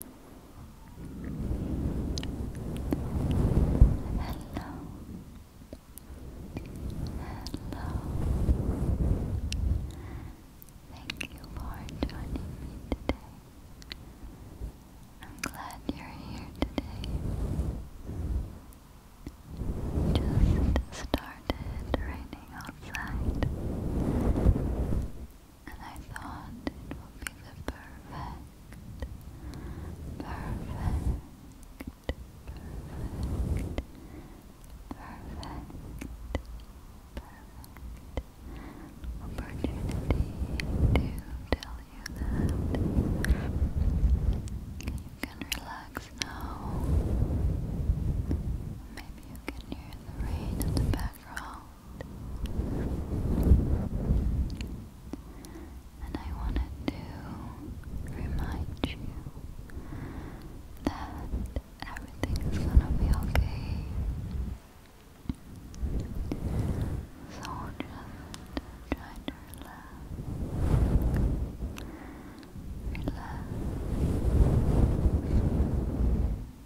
Hello. Hello. Thank you for joining me today. I'm glad you're here today. Just started raining outside and I thought it would be the perfect, perfect, perfect, perfect, opportunity to tell you that you can relax now. Maybe you can hear the rain in the background. And I wanted to remind you that everything is gonna be okay. So just try to relax. Relax.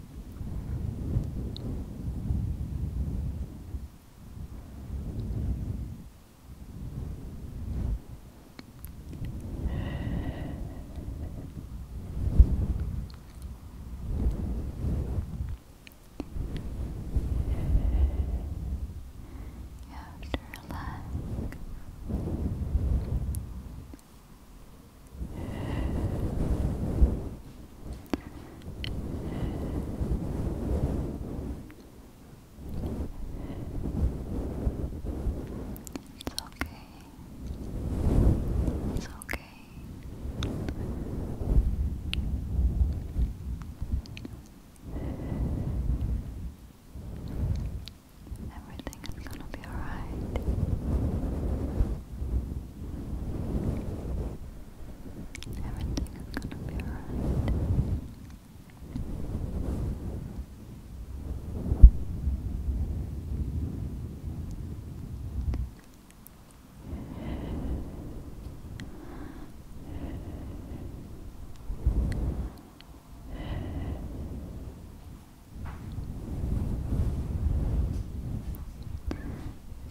You have to relax. Relax. It's okay. It's okay. Everything is gonna be alright. Everything is gonna be alright.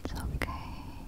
It's okay.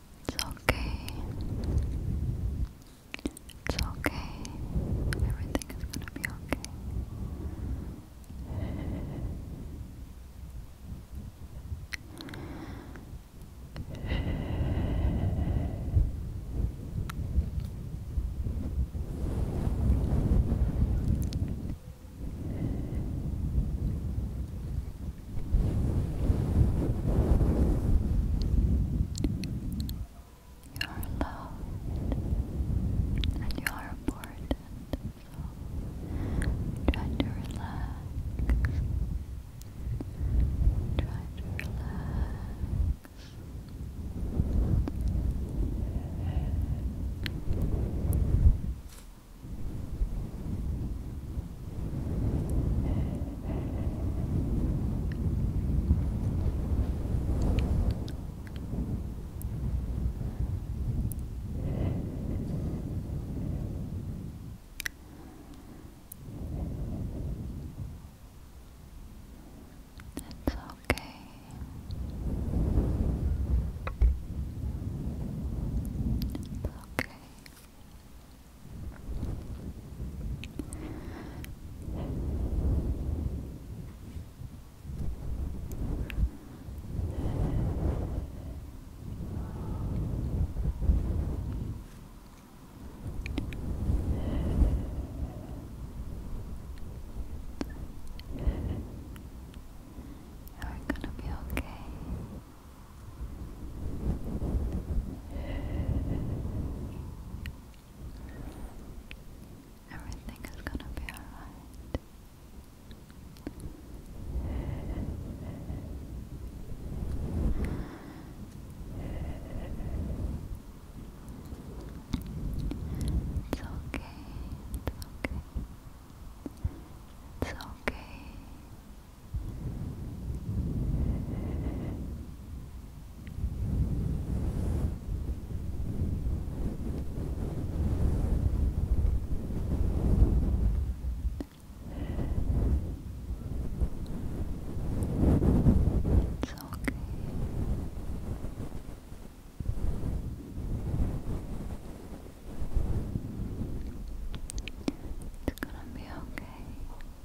It's okay. It's okay. Everything is gonna be okay. You are loved and you are important. So try to relax. Try to relax. It's okay. okay. You're gonna be okay. Everything is gonna be alright. It's okay, it's okay. It's okay. It's okay. It's gonna be okay.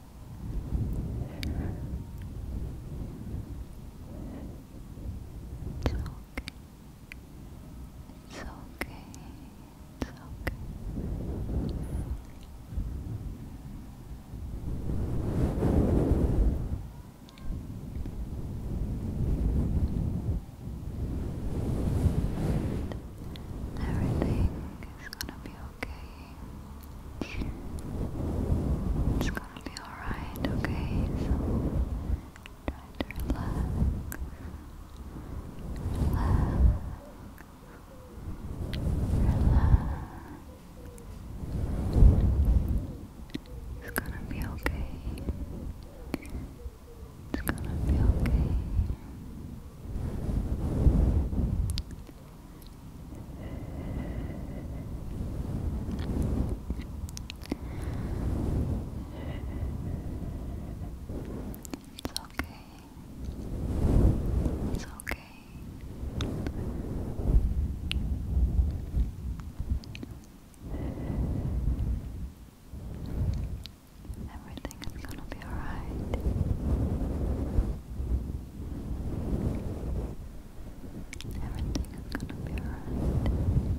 It's okay. It's okay. It's okay. Everything is gonna be it's gonna be alright, okay? try to relax. Relax. Relax. It's gonna be okay. It's gonna be okay. It's okay. It's okay. Everything is gonna be alright. Everything is gonna be alright. Everything